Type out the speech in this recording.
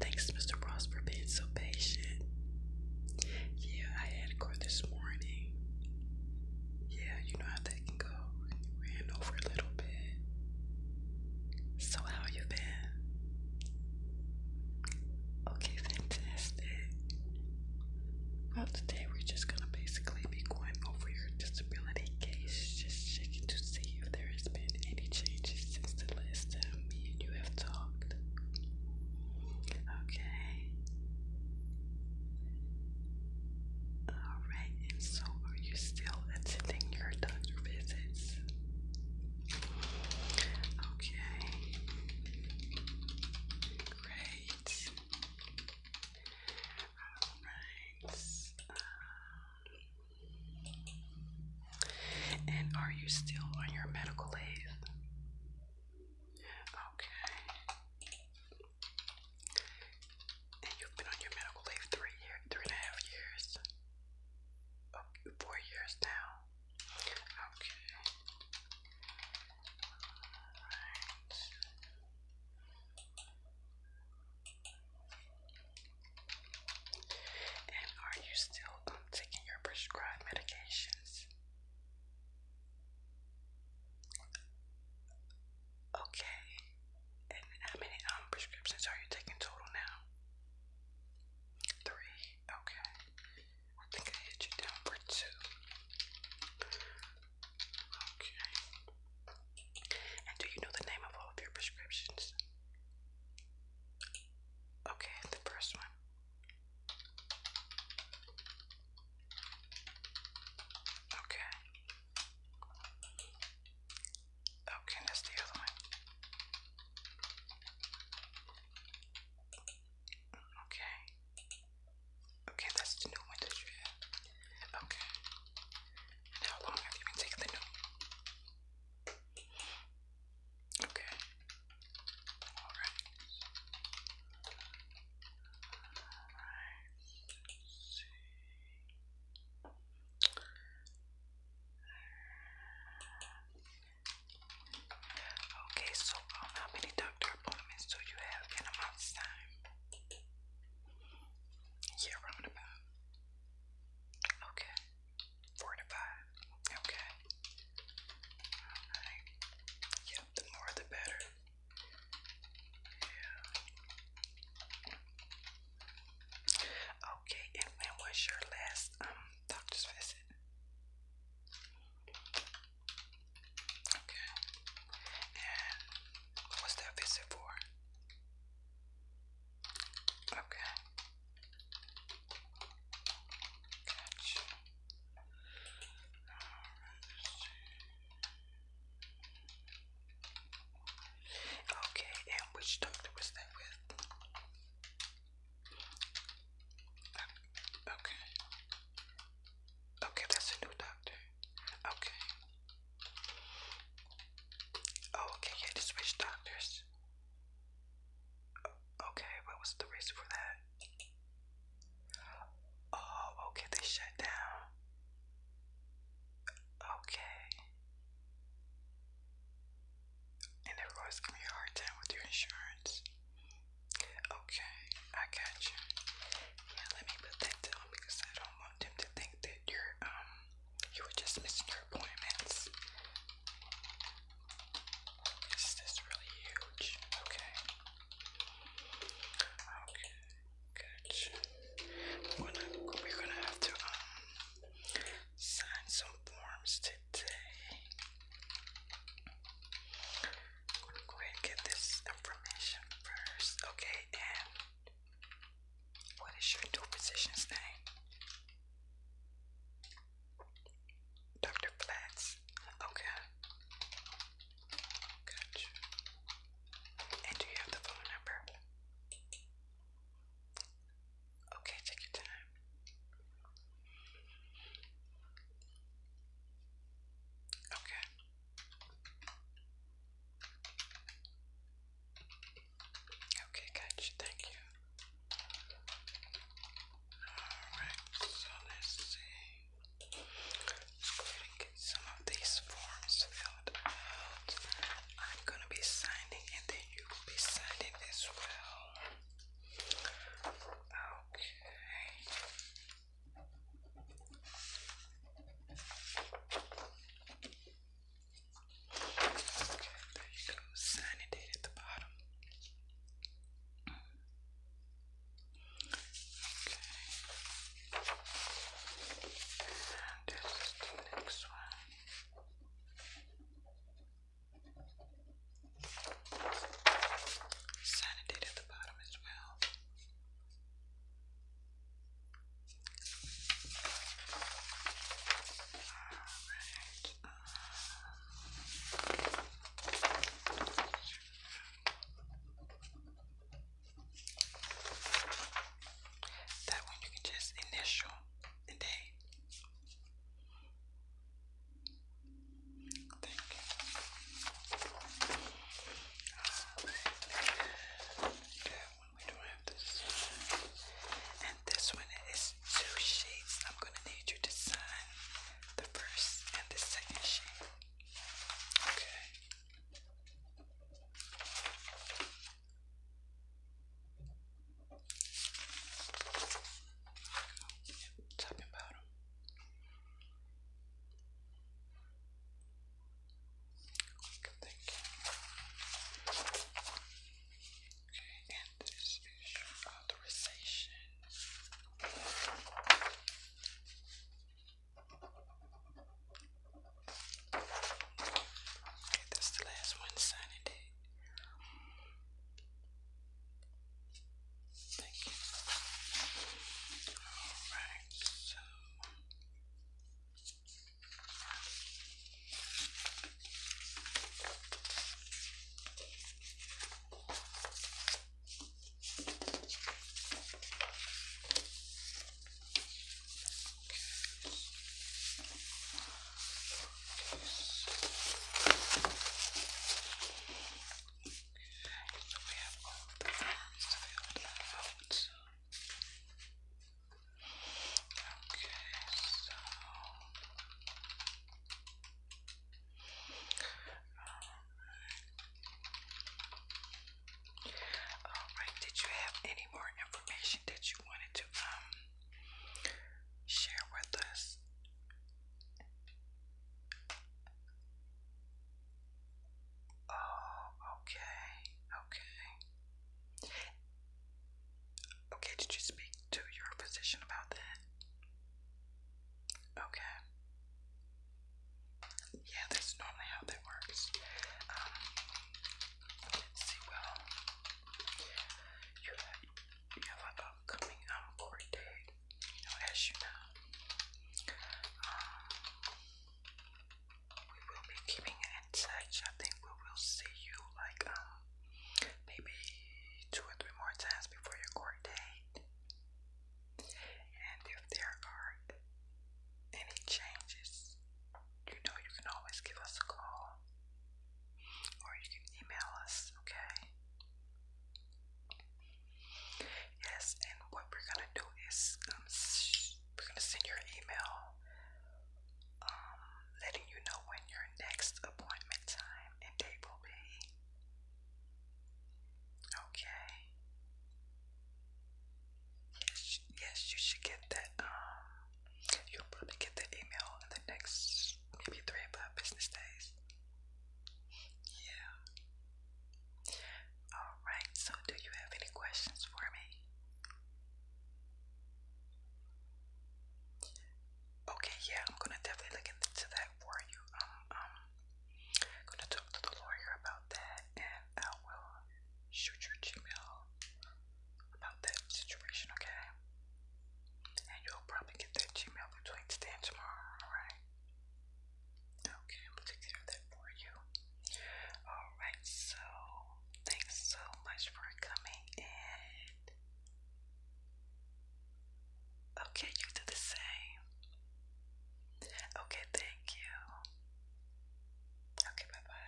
Thanks, Mr. Ross, for being so patient. Yeah, I had a this morning. Yeah, you know how that can go. Ran over a little bit. So how you been? Okay, fantastic. Well, today we're just gonna basically be going over your disability case, just checking to see if there has been any changes since the last time me and you have talked. Okay. Alright, and so are you still attending your doctor visits? Okay. Great. Alright. Uh, and are you still on your medical leave? Okay. And you've been on your medical leave three year, three and a half years. Oh, four years now. Okay. All right. And are you still um, taking your prescribed medications? Okay. And how many um, prescriptions are you taking total now? Three. Okay. I think I hit you down for two. Okay. And do you know the name of all of your prescriptions? Okay, the first one. Okay. Okay, that's the other one. Okay. Okay, that's the new one that you Okay. how long have you been taking the Okay. All All right. Let's see. Okay, so um, how many doctor appointments do you have in a month's time? Yeah, round about. Okay. Four to five. Okay. Alright. Yep, the more the better. Yeah. Okay, and when was your last um doctor's visit? Okay. And what's that visit for? Okay. Gotcha. okay, and which doctor was that with? Uh, okay. Okay, that's a new doctor. Okay. Oh, okay, you had to switch doctors. Okay, what was the reason for that? Oh, okay, they shut down. Okay. And everyone's giving you a hard time with your insurance. Okay, I got you. Yeah, let me put that down because I don't want them to think that that you um you were just missing your appointments. Is really huge? Okay. Okay, gotcha. We're gonna have to um sign some forms today. go ahead and get this information first. Okay, and what is your new physician's name? Dr. Flats. Okay. Gotcha. And do you have the phone number? Okay, take your time. Okay. Okay, gotcha, thank you. Alright, so let's see. Let's go ahead and get some of these forms filled out. I'm gonna be signing and then you will be signing as well. Okay. Okay, there you go. Sign date at the bottom. Okay. And this next one. Sanity at the bottom as well that one you can just initial the Thank you. That we don't have this. And this one is two shades. I'm gonna need you to sign the first and the second shade. Okay. top and bottom. Click thinking. Okay, and this is authorization. Okay, that's the last one signing date. Thank you. All right, so Okay. Okay, so. So we have all the forms filled out. Okay, so um, um, um, Alright. Alright, did you have any more information that you wanted to um share with us? Oh, okay, okay. Okay, did you speak to your physician about that? Okay. Yeah, that's normally how that works. Um, see, well, you have, you have an upcoming um, date as you know, um, we will be keeping in touch. I think we will see you like um maybe two or three more times before your court date. And if there are any changes, you know you can always give us a call or you can email us, okay? Yes, and what we're gonna do is um, we're gonna send your email um, letting you know when your next appointment time and date will be. Okay. Yes, yes, you should get that. Um, you'll probably get that email in the next maybe three or five business days. Yeah. Alright, so do you have any questions for me? Okay, yeah, I'm gonna definitely look into that for you. Um, um, gonna talk to the lawyer about that, and I will shoot your Gmail about that situation, okay? And you'll probably get that Gmail between today and tomorrow, alright? Okay, I'm take care of that for you. Alright, so thanks so much for coming in. Okay, you do the same. Okay, thank you. Okay, bye bye.